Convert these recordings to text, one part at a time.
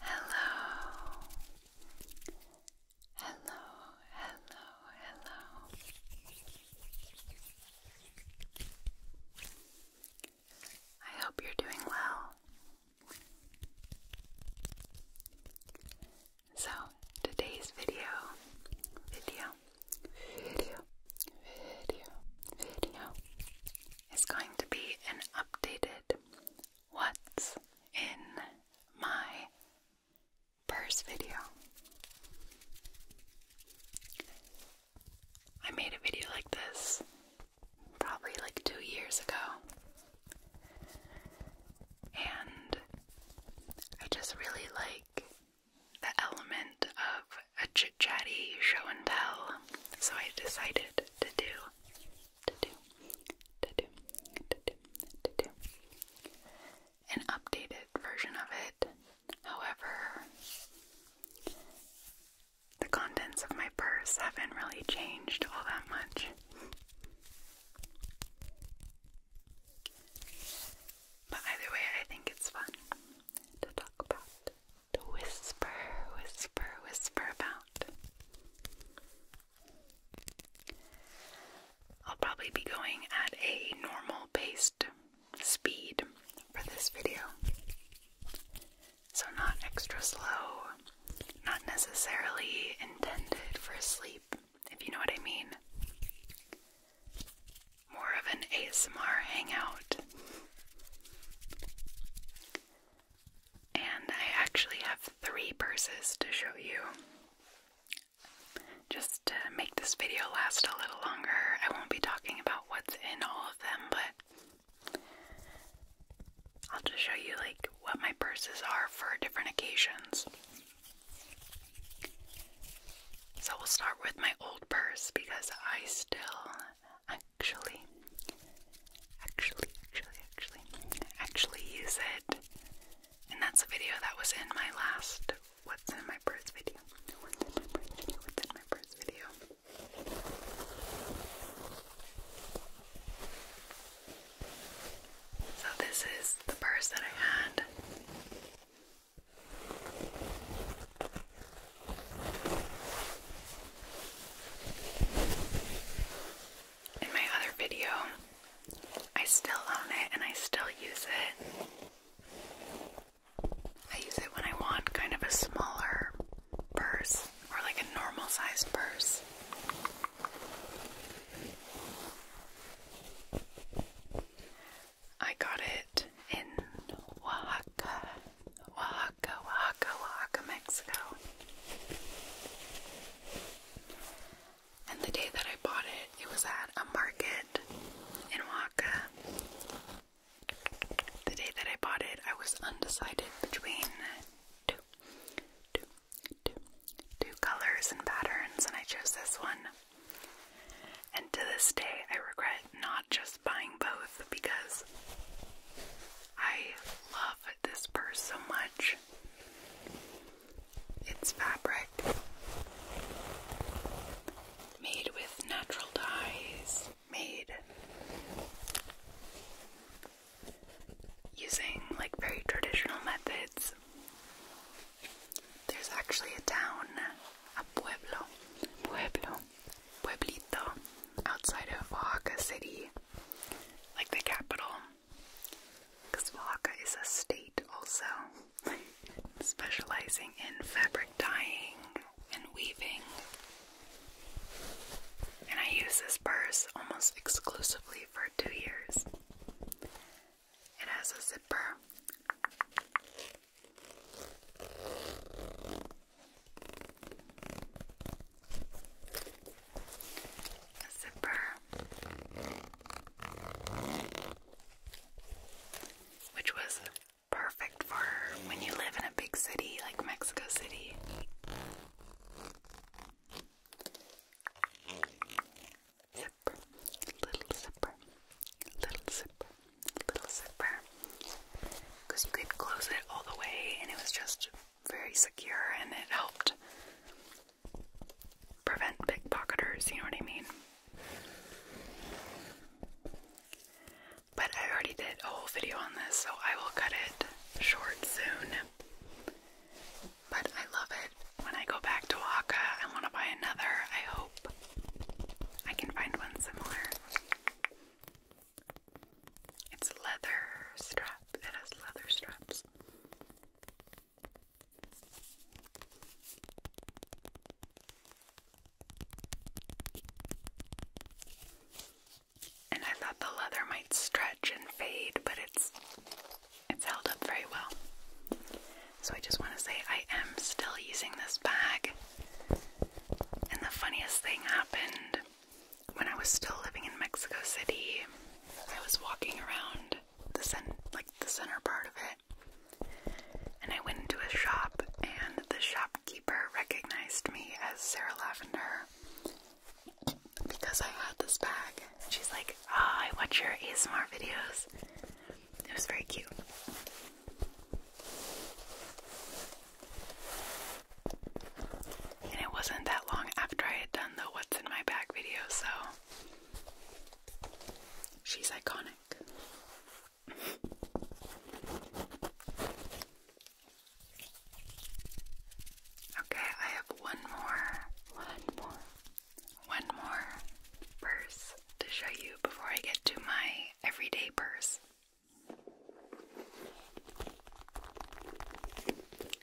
Hello. Hello, hello, hello. I hope you're doing well. So today's video, video, video, video, video is going to be an updated what's in my purse video. I made a video like this probably like two years ago and I just really like the element of a chit chatty show and tell, so I decided to do, to do, to do, to do, to do an updated version of it. However, the contents of my purse haven't really changed all that much. But either way, I think it's fun to talk about, to whisper, whisper, whisper about. I'll probably be going at a normal paced speed for this video. So, not extra slow, not necessarily intended for sleep, if you know what I mean. More of an ASMR hangout. And I actually have three purses to show you. Just to make this video last a little longer, I won't be talking about what's in all of them, but I'll just show you like what my purses are for different occasions. So we'll start with my old purse because I still actually, actually, actually, actually, actually use it. And that's a video that was in my last What's in my purse video. What's in my purse video? What's in my purse video? So, this is the purse that I had. In my other video, I still own it and I still use it. I use it when I want kind of a smaller purse or like a normal sized purse. I got it in Oaxaca, Oaxaca, Oaxaca, Mexico. And the day that I bought it, it was at a market in Oaxaca. The day that I bought it, I was undecided between two, two, colors and patterns, and I chose this one. And to this day, I regret not just buying both because I love this purse so much. It's fabric made with natural dyes, made using like very traditional methods. There's actually a town, a pueblo, pueblo, pueblito, outside of Oaxaca City, like the capital. Because Oaxaca is a state also, specializing in fabric dyeing and weaving. And I use this purse almost exclusively for two years. It has a zipper. A zipper, which was perfect for when you live in a big city like Mexico City zipper, little zipper, little zipper, little zipper. Because you could close it all the way and it was just very secure and it helped prevent pickpocketers, you know what I mean? But I already did a whole video on this, so I will cut it short soon. But I love it. When I go back to Oaxaca, I want to buy another. I hope I can find one similar. It's leather strap. It has leather straps. And I thought the leather might stretch and fade, but it's it's held up very well. So I just want to say I am still using this bag. And the funniest thing happened when I was still living in Mexico City. I was walking around the cen like the center part of it. And I went into a shop and the shopkeeper recognized me as Sarah Lavender because I had this bag. She's like, Ah, I watch your ASMR videos. It was very cute. And it wasn't that long after I had done the What's in My Bag video, so she's iconic. okay, I have one more. One more one more purse to show you before I get to my everyday purse.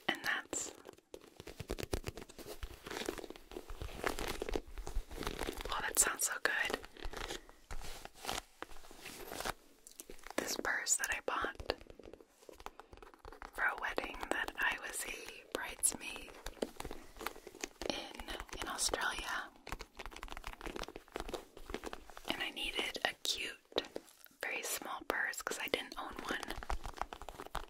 And that's Oh, that sounds so good. This purse that I bought for a wedding that I was a bridesmaid in in Australia. And I needed a cute, very small purse because I didn't own one.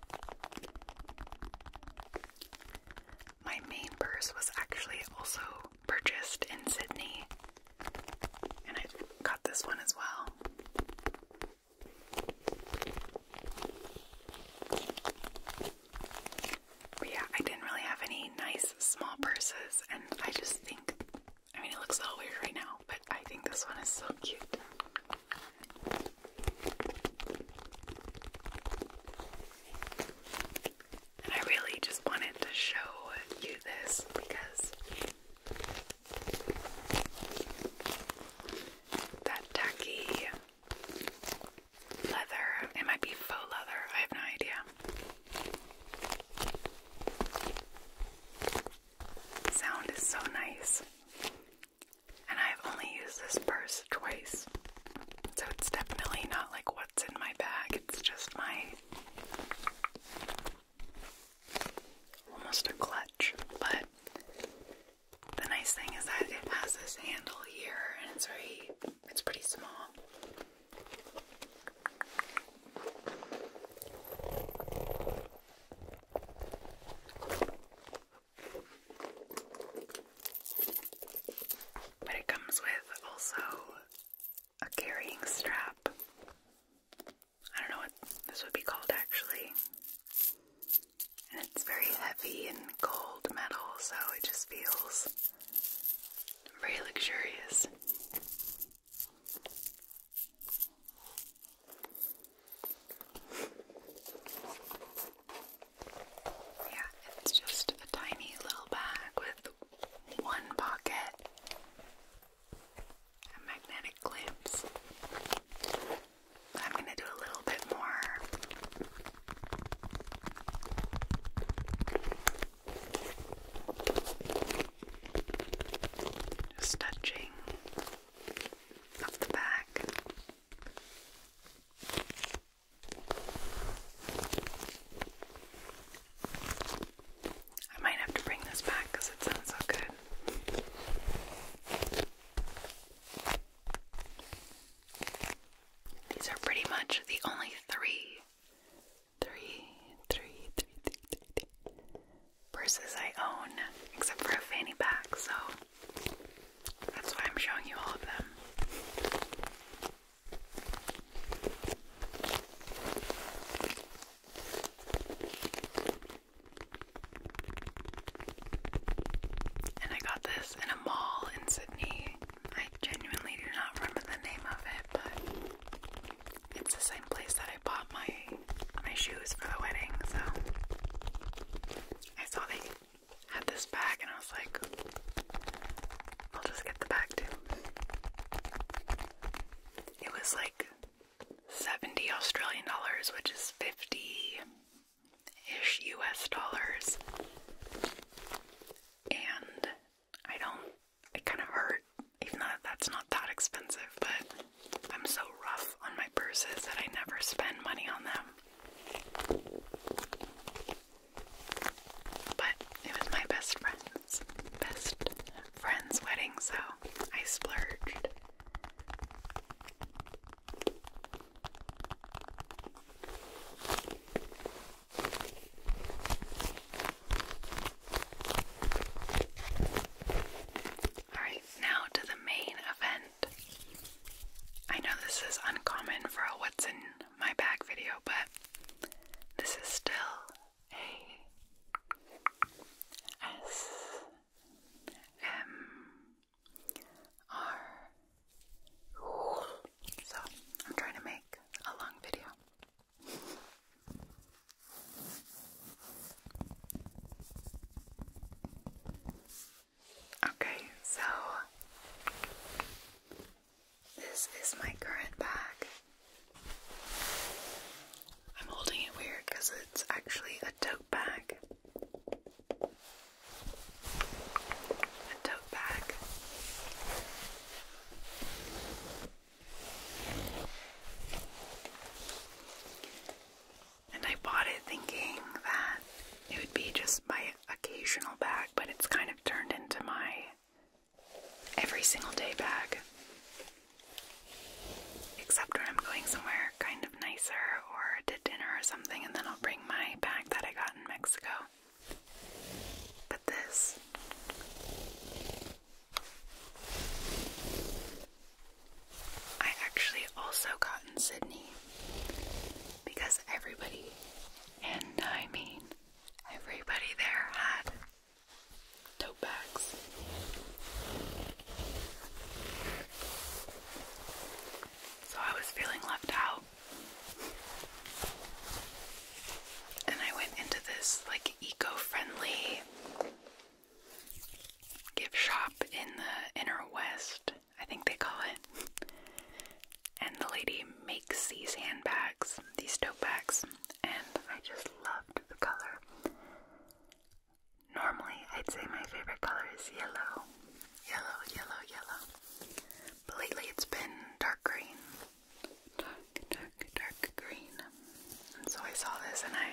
My main purse was actually also purchased in Sydney, and I got this one as well yeah, I didn't really have any nice small purses, and I just think, I mean, it looks a little weird right now, but I think this one is so cute. And I really just wanted to show you this because that tacky leather. It might be faux leather. I have no idea. sound is so nice. And I've only used this purse twice. So it's definitely not like what's in my bag. It's just my almost a clutch, but the nice thing is that it has this handle here and it's very it's pretty small. But it comes with also a carrying strap. I don't know what this would be called actually. And it's very heavy and gold metal, so it just feels very luxurious. Yeah, it's just a tiny little bag with one pocket and magnetic clamps. I'm going to do a little bit more. Just touching up the back. I might have to bring this back because it sounds so good. These are pretty much the only three, three, three, three, three, three, three purses I own, except for a fanny pack, so that's why I'm showing you all of them. And I got this in a mall in Sydney. I genuinely do not remember the name of it, but it's the same place that I bought my my shoes for the wedding. So I saw they had this bag, and I was like, I'll just get the bag too. It was like seventy Australian dollars, which is fifty ish US dollars. And I don't, it kind of hurt, even though that's not that expensive, but I'm so rough on my purses that I never spend money on them. But it was my best friend's, best friend's wedding, so I splurged. Alright, now to the main event. I know this is uncommon for a what's in my bag video, but this is still a S M are. So, I'm trying to make a long video. Okay, so this is my current bag. I'm holding it weird because it's actually a tote bag a tote bag. And I bought it thinking that it would be just my occasional bag, but it's kind of turned into my every single day bag. Except when I'm going somewhere kind of nicer or to dinner or something, and then I'll bring my bag that I got in Mexico. But this I actually also got in Sydney because everybody, and I mean everybody there, had tote bags. So I was feeling left out. And I went into this like eco-friendly gift shop in the inner west, I think they call it. And the lady makes these handbags, these tote bags, and I just loved the color. Normally, I'd say my favorite color is yellow. Yellow, yellow, yellow. But lately it's been dark green. Dark, dark, dark green. so I saw this and I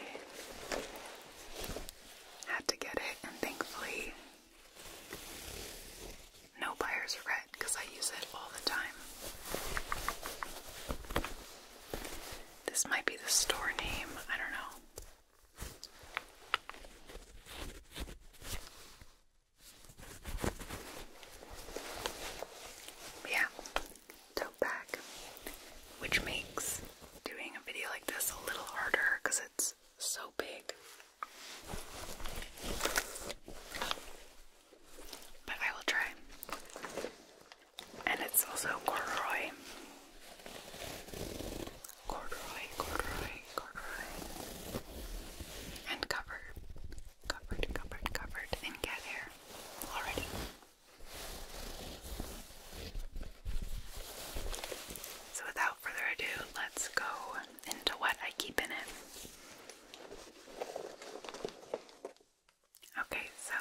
had to get it, and thankfully, no buyer's red because I use it all the time. This might be the store name, I don't know. Yeah, tote bag, which makes doing a video like this a little harder because it's so big. But I will try. And it's also corduroy, corduroy, corduroy, corduroy, and covered, covered, covered, covered in cat hair already. So without further ado, let's go into what I keep in it. Okay, so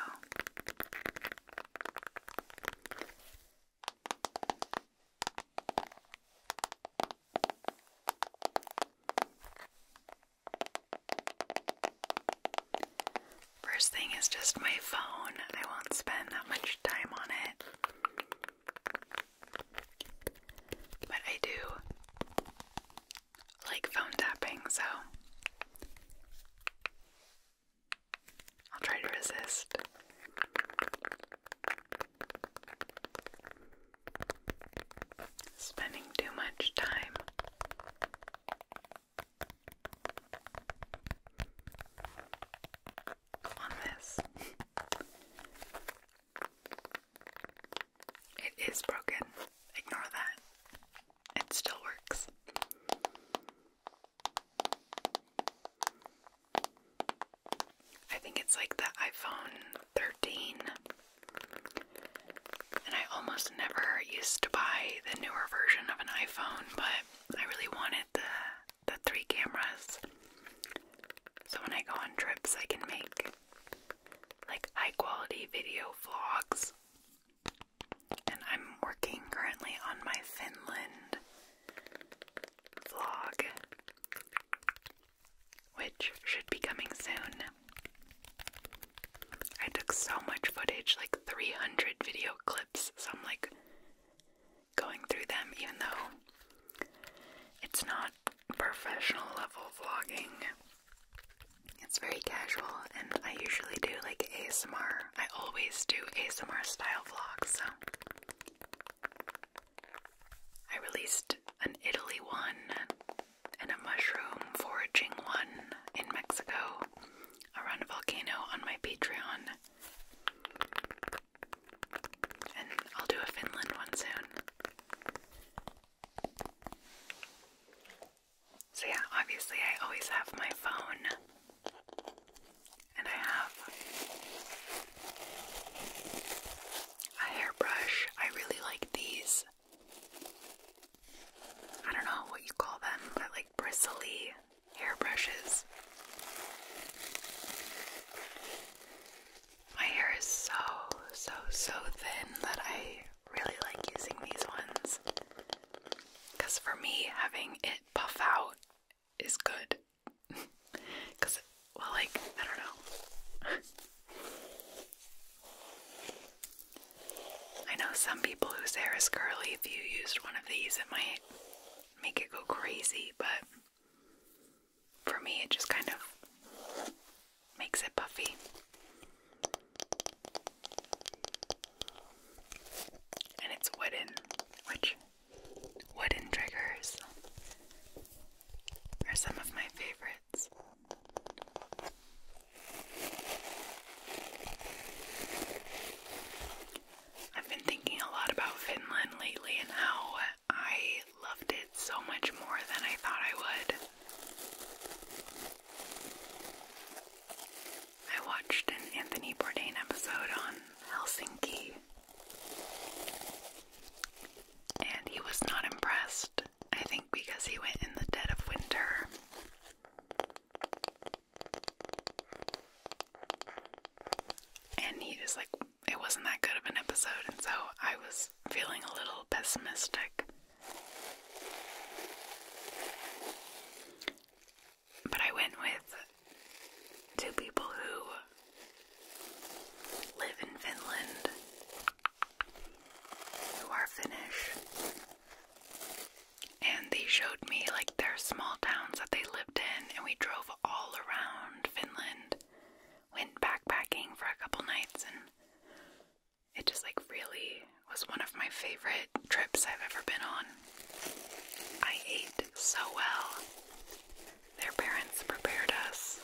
First thing is just my phone. I won't spend that much time on it. But I do like phone tapping, so I'll try to resist. Spending too much time on this. It is broken. Ignore that. It still works. I think it's like the iPhone 13. And I almost never used to buy the newer version of an iPhone, but I really wanted the the three cameras. So when I go on trips, I can make like high quality video vlogs. And I'm working currently on my Finland vlog, which should be coming soon. I took so much footage, like 300 video clips, so I'm like going through them, even though it's not professional level vlogging. It's very casual, and I usually do like ASMR. I always do ASMR style vlogs, so I released an Italy one and a mushroom foraging one in Mexico around a volcano on my Patreon. And I'll do a Finland one soon. So, yeah, obviously, I always have my phone and I have a hairbrush. I really like these. I don't know what you call them, but like bristly hairbrushes. My hair is so, so, so thin that I really like using these ones. Because for me, having it puff out is good. Cause, well, like, I don't know. I know some people whose hair is curly, if you used one of these, it might make it go crazy, but for me, it just kind of makes it puffy. And it's wooden, which Wooden triggers are some of my favorites. I've been thinking a lot about Finland lately and how I loved it so much more than I thought I would. I watched an Anthony Bourdain episode on Helsinki and he was not impressed, I think, because he went in the dead of winter. And he just like, it wasn't that good of an episode, and so I was feeling a little pessimistic. But I went with to people who live in Finland, who are Finnish. And they showed me like their small towns that they lived in, and we drove all around Finland, went backpacking for a couple nights, and it just like really was one of my favorite trips I've ever been on. I ate so well. Their parents prepared us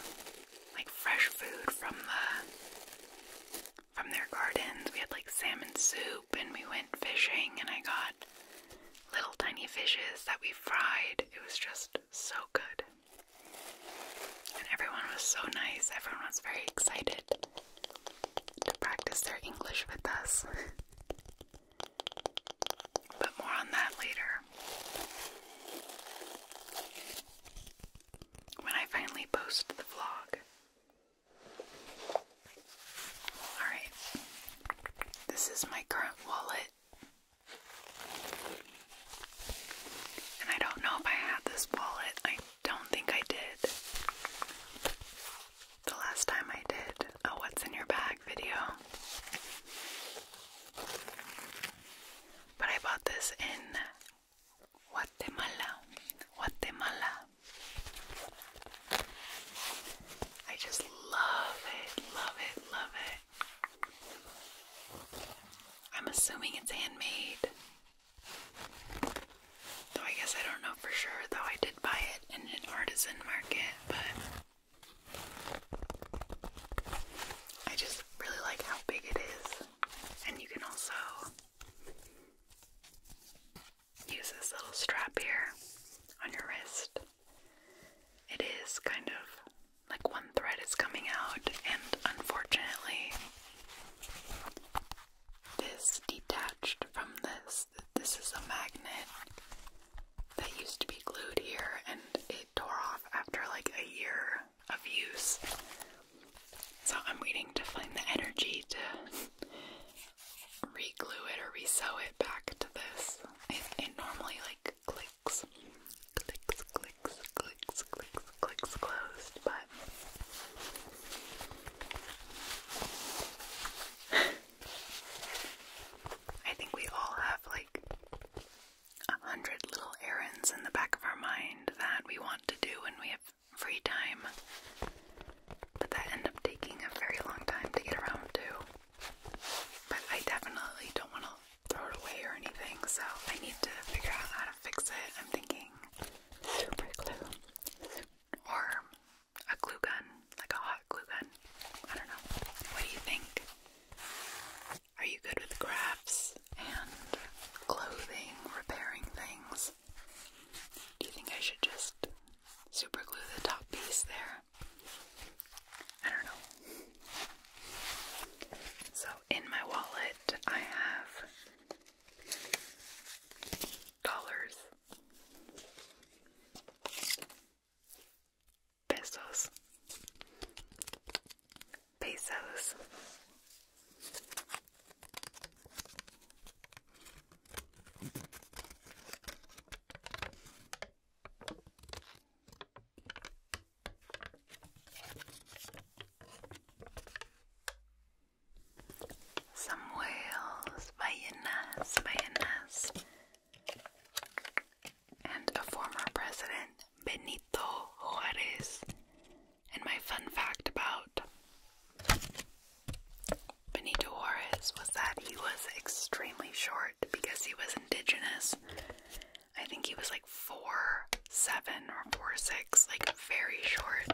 like fresh food from the from their gardens. We had like salmon soup and we went fishing and I got little tiny fishes that we fried. It was just so good. And everyone was so nice. Everyone was very excited to practice their English with us. But more on that later. When I finally post the vlog. Alright, this is my current wallet. And I don't know if I had this wallet. I don't think I did. The last time I did a What's in Your Bag video. But I bought this in Guatemala. Guatemala. I just love it, love it, love it. I'm assuming it's handmade. Though I guess I don't know for sure, though I did buy it in an artisan market, but I just really like how big it is, and you can also use this little strap here on your wrist. It is kind of like one thread is coming out, and unfortunately, this detached from this. This is a magnet, that used to be glued here and it tore off after like a year of use. So I'm waiting to find the energy to re-glue it or re-sew it back to this. It, it normally like clicks, clicks, clicks, clicks, clicks, clicks closed, but I think we all have a hundred little errands in the back of our mind that we want to do when we have free time, but that end up taking a very long time to get around to. But I definitely don't want to throw it away or anything, so I need to figure out how to fix it. I'm thinking super glue or a glue gun like a hot glue gun. I don't know. What do you think? Are you good with crafts and clothing, repairing things? Do you think I should just super glue the top piece there? I don't know. So, in my wallet, I have dollars pesos, pesos. Some whales, ballenas, ballenas and a former president, Benito Juarez. And my fun fact about Benito Juarez was that he was extremely short because he was indigenous. I think he was like four seven or four six, like very short.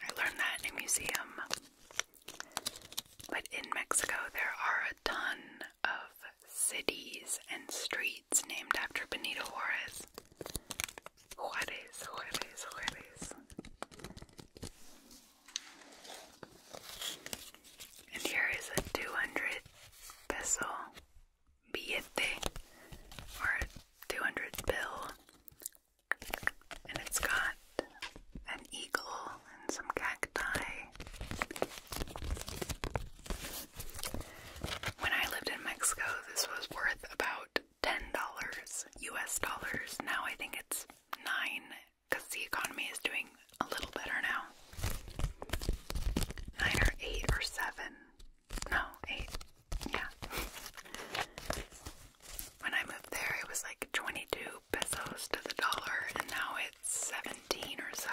I learned that in a museum but in Mexico, there are a ton of cities and streets named after Benito Juarez. Juarez, Juarez, Juarez. And here is a 200 peso billete, or 200 bill, and it's got an eagle, and some cacti. When I lived in Mexico, this was worth about $10 US dollars. Now I think it's 9 because the economy is doing a little better now. 9 or 8 or 7. No, 8. Yeah. when I moved there, it was like 22 pesos to the dollar, and now it's 17 or so.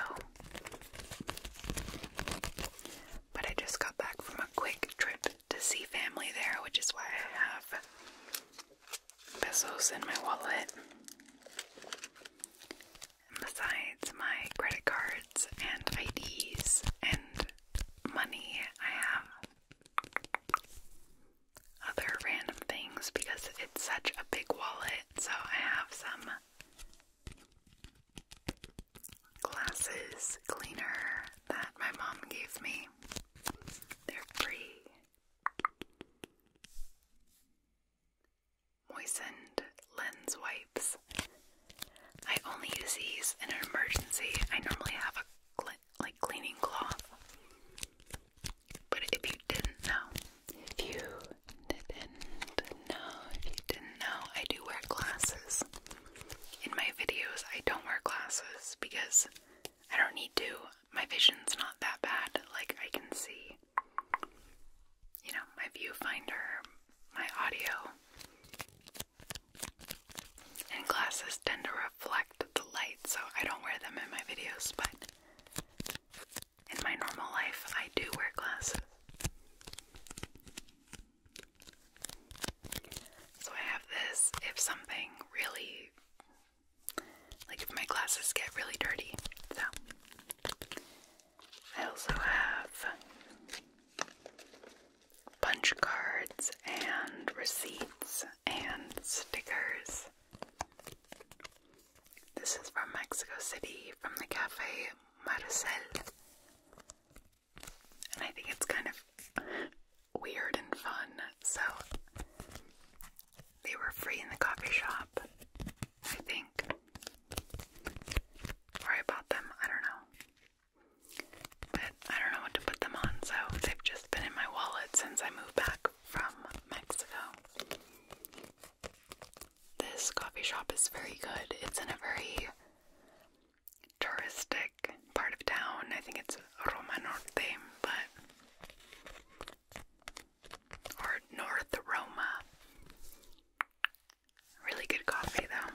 But I just got back from a quick trip to see family there, which is why I have pesos in my wallet. besides my credit cards and IDs and money, I have other random things because it's such a big wallet. So I have some glasses cleaner that my mom gave me. They're free. Moistened lens wipes. I only use these in an emergency. I normally have a like cleaning cloth. But if you didn't know, if you didn't know, if you didn't know, I do wear glasses. In my videos, I don't wear glasses because I don't need to. My vision's not that bad. Like, I can see, you know, my viewfinder, my audio. And glasses tend to reflect the light, so I don't wear them in my videos, but in my normal life, I do wear glasses. So I have this if something really, like if my glasses get really dirty. So I also have punch cards and receipts and stickers. This is from Mexico City from the cafe Marcel. And I think it's kind of weird and fun. So they were free in the coffee shop, I think. Or I bought them, I don't know. But I don't know what to put them on, so they've just been in my wallet since I moved back from Mexico. This coffee shop is very good. It's in a very touristic part of town. I think it's Roma Norte, but or North Roma. Really good coffee though.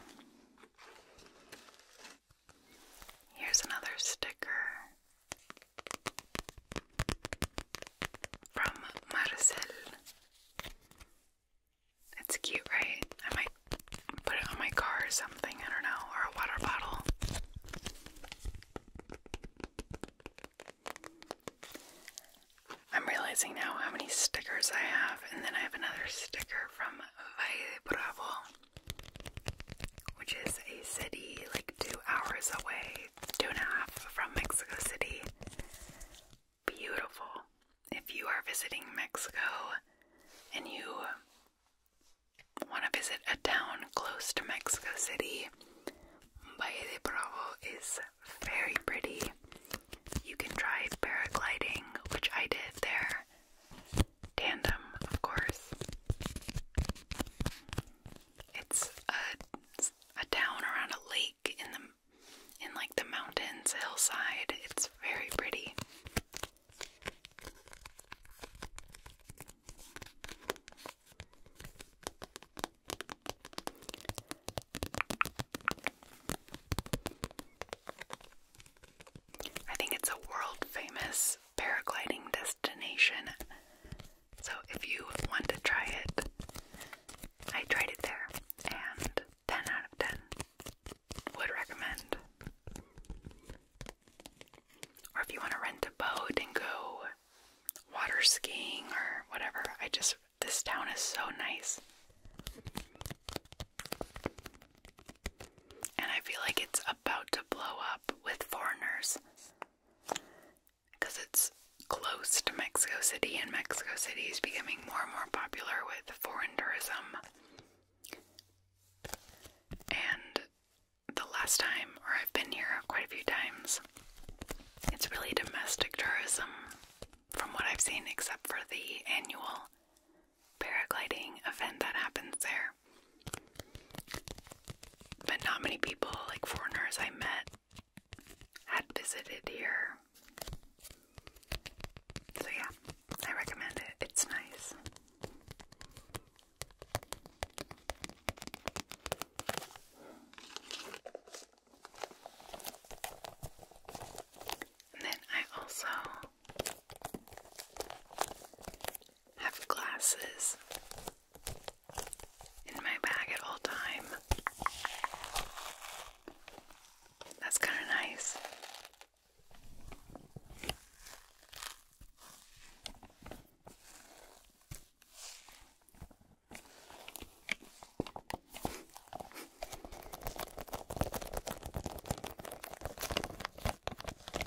Here's another sticker. From Marcel. It's cute, right? I might put it on my car or something, I don't know, or a water bottle. I'm realizing now how many stickers I have, and then I have another sticker from Valle Bravo, which is a city like two hours away, two and a half from Mexico City. Beautiful. If you are visiting Mexico and you want to visit a town close to Mexico City, Valle de Bravo is very pretty. You can try paragliding, which I did there. Tandem, of course. It's a, town around a lake in the in like the mountains hillside. It's very pretty. I think it's a world famous paragliding destination. So if you want to try it, I tried it there and 10 out of 10 would recommend. Or if you want to rent a boat and go water skiing or whatever, I just, this town is so nice. And I feel like it's about to blow up with foreigners because it's close to Mexico City, and Mexico City is becoming more and more popular with foreign tourism. And the last time, or I've been here quite a few times, it's really domestic tourism from what I've seen, except for the annual paragliding event that happens there. But not many people, like foreigners I met, had visited here. So, yeah, I recommend it. It's nice. And then I also have glasses in my bag at all time. That's kind of nice.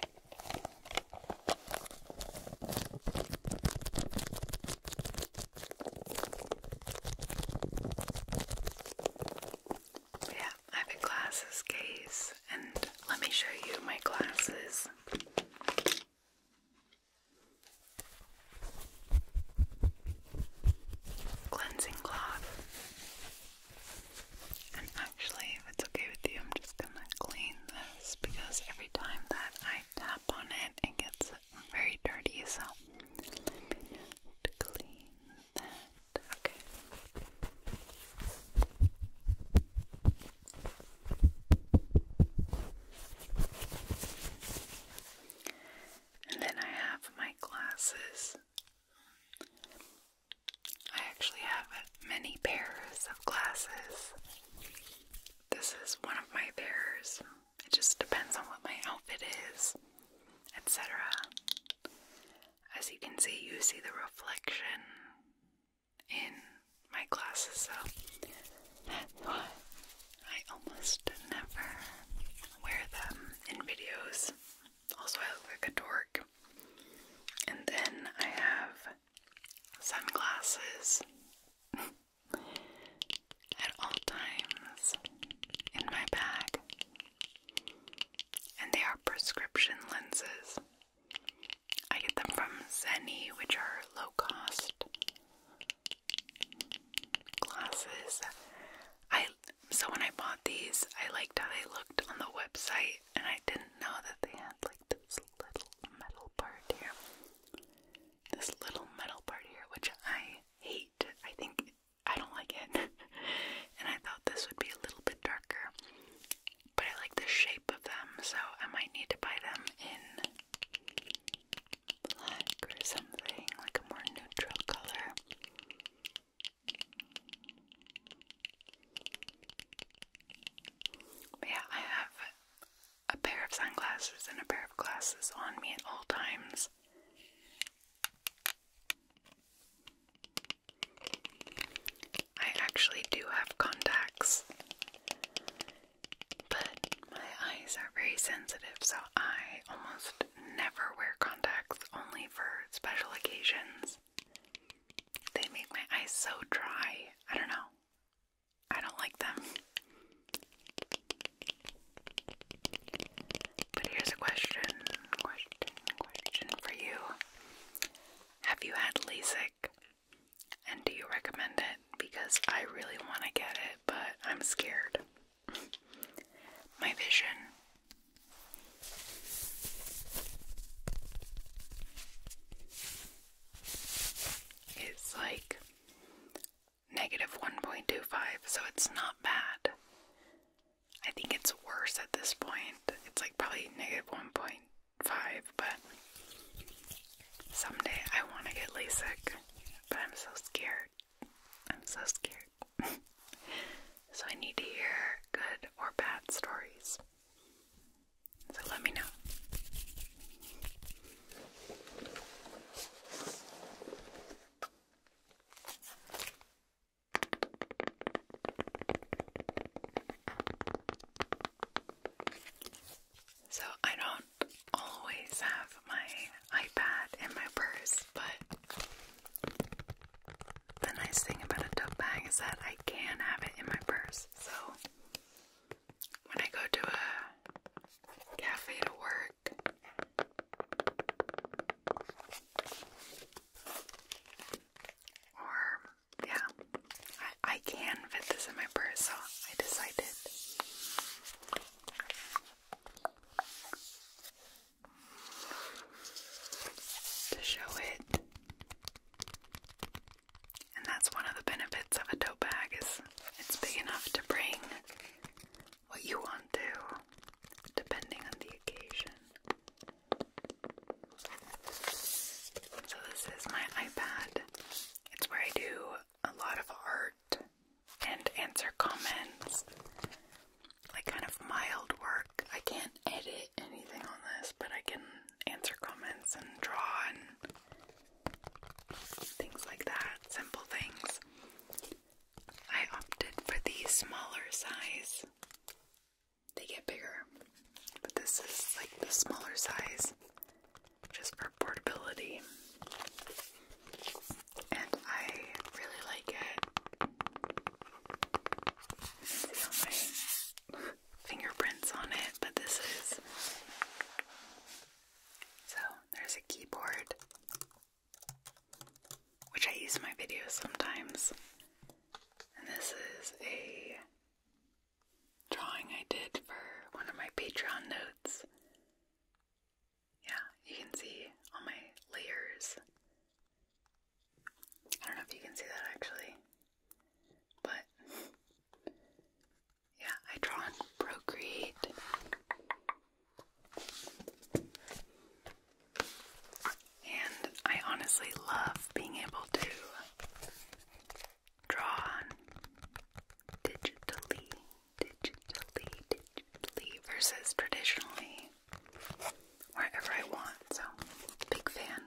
Yeah, I have a glasses case, and let me show you my glasses. Cleansing cloth. And actually, if it's okay with you, I'm just gonna clean this because every time that I tap on it, it gets very dirty, so let clean Okay. And then I have my glasses. I actually have many pairs of glasses. This is one of my pairs. It just depends on what my outfit is, etc. As you can see, you see the reflection in my glasses, so I almost never wear them in videos. Also, I look like a dork. And then I have sunglasses at all times in my bag, and they are prescription lenses. I get them from Zenni, which are low cost glasses. I so when I bought these, I liked how they looked on the website, and I didn't know that they had like this little metal part here. This little metal part here, which I hate. I think I don't like it. and I thought this would be a little bit darker. But I like the shape of them, so I might need to buy them in black or something, like a more neutral color. yeah, I have a pair of sunglasses and a pair of glasses on me at all times. I actually do have contacts, but my eyes are very sensitive, so I almost never wear contacts only for special occasions. They make my eyes so dry. I don't know. I don't like them. But here's a question, question, question for you. Have you had LASIK? And do you recommend it? Because I really want to get it, but I'm scared. My vision. It's like negative 1.25, so it's not bad. I think it's worse at this point. It's like probably negative 1.5, but someday I want to get LASIK, but I'm so scared. I'm so scared. so I need to hear good or bad stories. So let me know. So, I don't always have my iPad in my purse, but the nice thing about a tote bag is that I can have it in my purse. So, when I go to a cafe to work. Or, yeah, I, I can fit this in my purse, so I decided. To show it and that's one of the benefits of a tote bag is it's big enough to bring what you want to, depending on the occasion. So this is my iPad. It's where I do a lot of art and answer comments. Like kind of mild work. I can't edit anything on this, but I can answer comments and draw and things like that, simple things. I opted for the smaller size. They get bigger, but this is like the smaller size just for portability. And I really like it fingerprints on it, but this is. So there's a keyboard, which I use in my videos sometimes. And this is a drawing I did for one of my Patreon notes. Yeah, you can see all my layers. I don't know if you can see that actually, but yeah, I draw on Procreate. And I honestly love being able to draw on digitally, digitally, digitally versus traditionally wherever I want. So, big fan.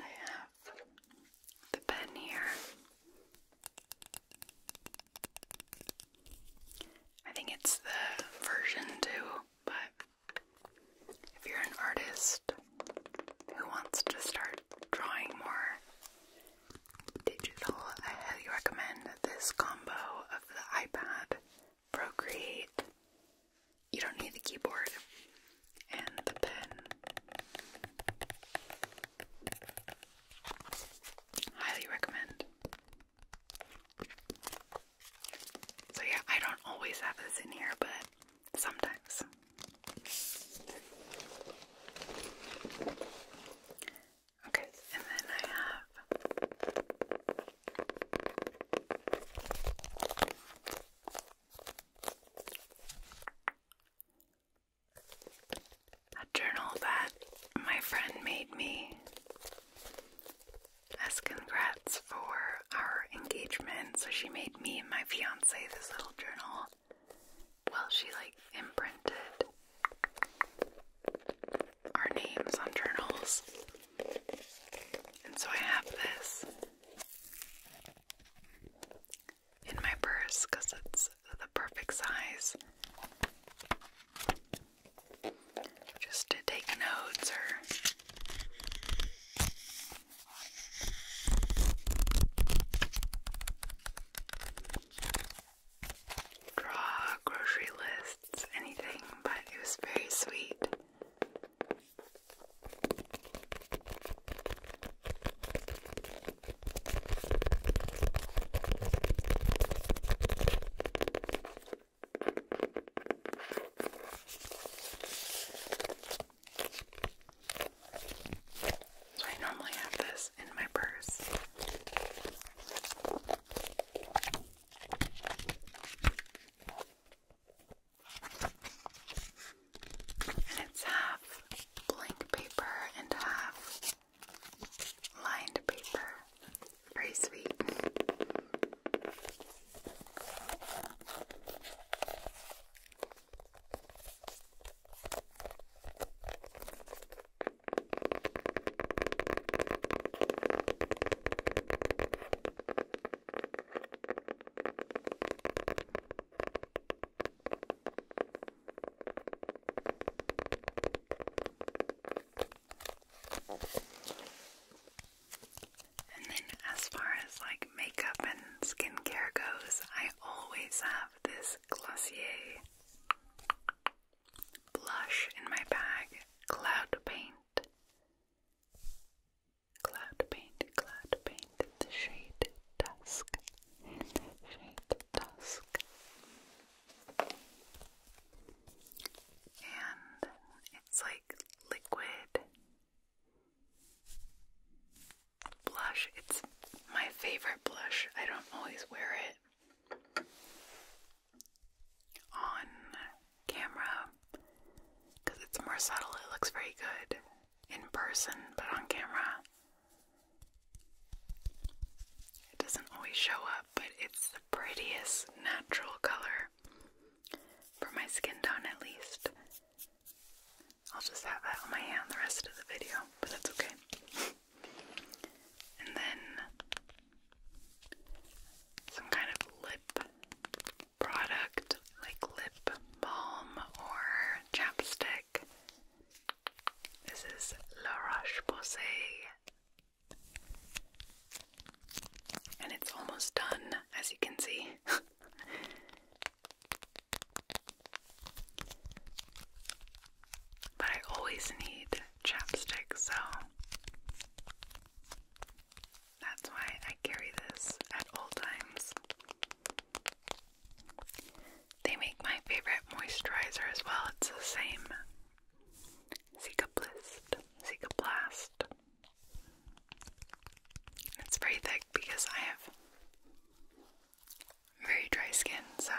I have the pen here. I think it's the version 2, but if you're an artist who wants to start drawing more digital, I highly recommend this combo of the iPad, Procreate. You don't need the keyboard, and the pen. Highly recommend. So, yeah, I don't always have this in here, but sometimes. Okay, and then I have a journal that my friend made me as congrats for our engagement. So she made me and my fiance this little journal. Well, she like imprinted our names on journals. And so I have this in my purse because it's the perfect size. Just to take notes or draw grocery lists, anything, but it was very sweet. So I normally have this in my purse and it's half blank paper and half lined paper. Very sweet. And then, as far as like makeup and skincare goes, I always have this Glossier blush in my bag, Cloud Paint. Cloud Paint, Cloud Paint, the shade Dusk shade Dusk. And it's like liquid blush. It's my favorite blush. I don't always wear it on camera because it's more subtle. It looks very good in person, but on camera, it doesn't always show up, but it's the prettiest natural color for my skin tone, at least. I'll just have that on my hand the rest of the video, but that's okay. and then some kind of lip product like lip balm or chapstick. This is La Roche-Posay. And it's almost done, as you can see. but I always need chapstick, so that's why I carry this at all times. They make my favorite moisturizer as well. It's the same. Zika Blist. Zika Blast. It's very thick because I have very dry skin, so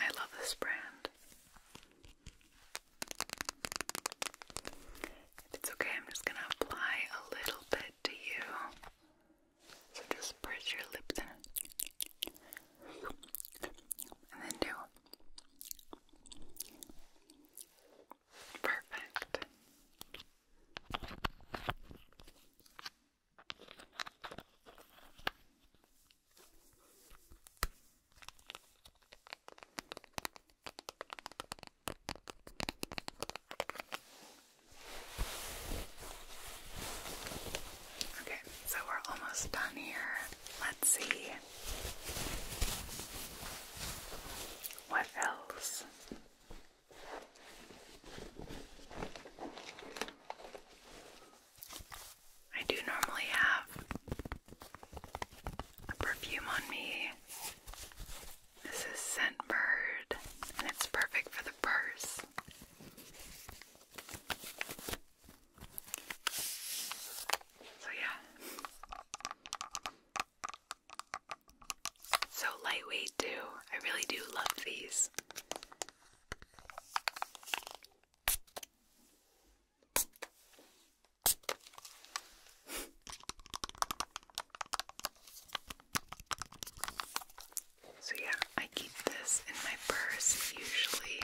I love this brand. If it's okay, I'm just going to apply a little bit to you so just press your lips in and then do perfect. Okay, so we're almost done here. Let's see what else. I do normally have a perfume on me this is bird, and it's perfect for the purse. So, yeah. So lightweight, too. I really do love these. So, yeah, I keep this in my purse usually.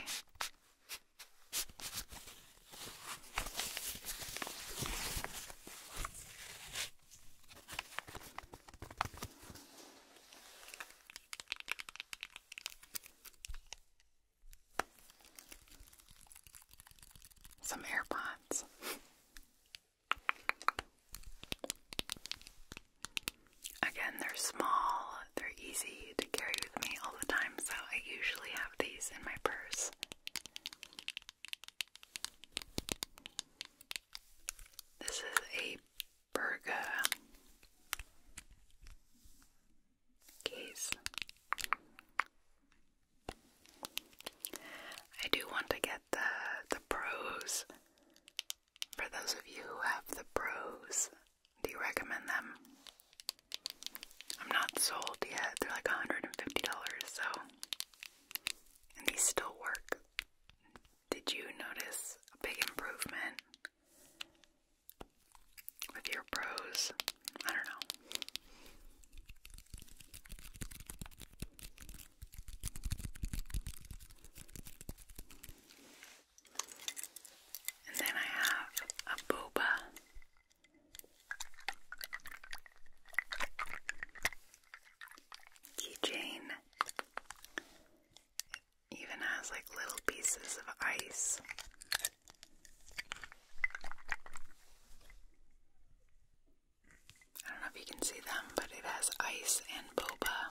Some AirPods. Again, they're small, they're easy to carry with me all the time, so I usually have these in my purse. This is a burger case. I do want to get the the pros for those of you who have the pros, do you recommend them? I'm not sold yet. They're like $150, so. And these still work. Did you notice a big improvement with your pros? I don't know. And then I have a booba. Keychain. even has like little pieces of ice. I don't know if you can see them, but it has ice and boba.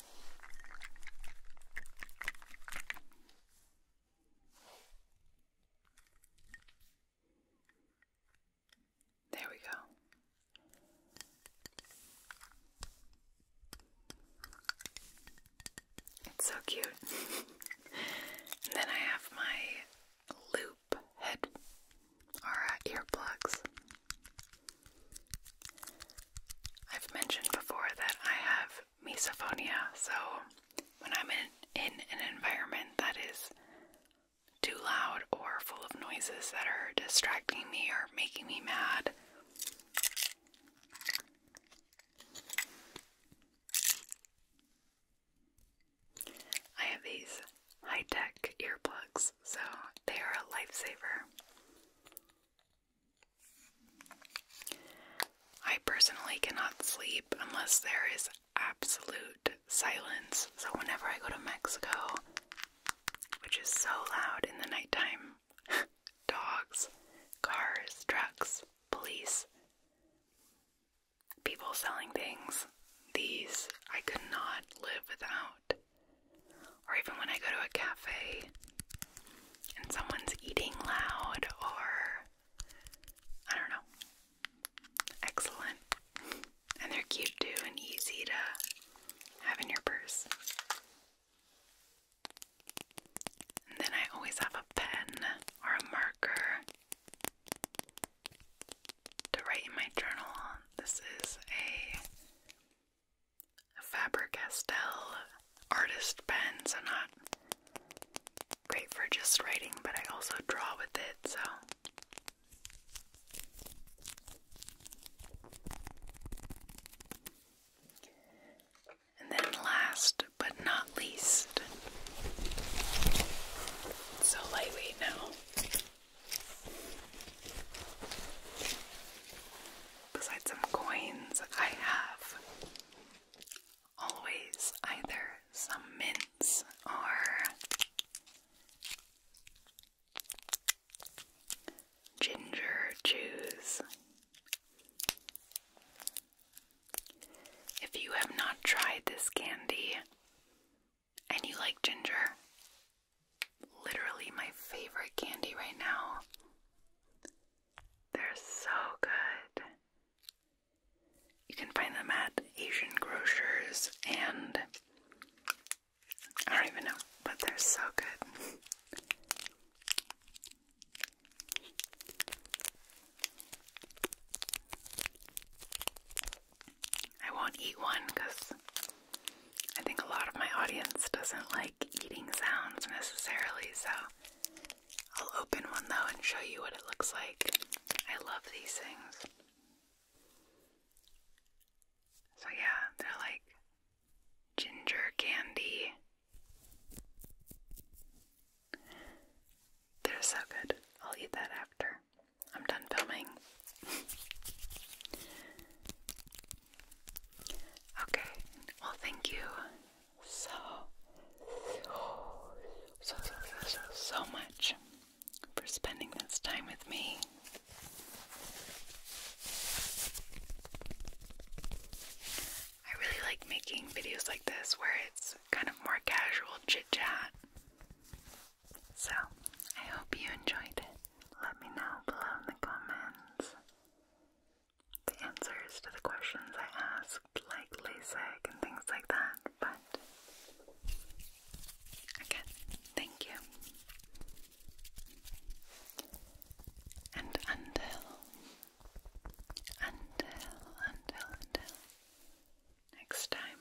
There we go. It's so cute. then I have my loop head are earplugs. I've mentioned before that I have misophonia, so when I'm in, in an environment that is too loud or full of noises that are distracting me or making me mad, I have these high tech earplugs so they are a lifesaver. I personally cannot sleep unless there is absolute silence. So, whenever I go to Mexico, which is so loud in the nighttime, dogs, cars, trucks, police, people selling things, these I cannot live without. Or even when I go to a cafe and someone's eating loud, or I don't know. Excellent. And they're cute too and easy to have in your purse. And then I always have a pen or a marker to write in my journal. This is a Faber Castell artist pens are not great for just writing, but I also draw with it, so. And then, last but not least, so lightweight now. Besides some coins, I have always either some mints or ginger juice. If you have not tried this candy and you like ginger, literally my favorite candy right now. They're so good. You can find them at Asian grocers and I don't even know, but they're so good. I won't eat one because I think a lot of my audience doesn't like eating sounds necessarily, so I'll open one though and show you what it looks like. I love these things. So, yeah, they're like ginger candy. They're so good. I'll eat that after. I'm done filming okay, well, thank you so, so, so, so, so, much for spending this time with me. I really like making videos like this where it's kind of more casual chit chat. So, I hope you enjoyed it. Let me know below in the comments the answers to the questions I asked, like LASIK and things like that. But again, thank you. And until, until, until, until next time,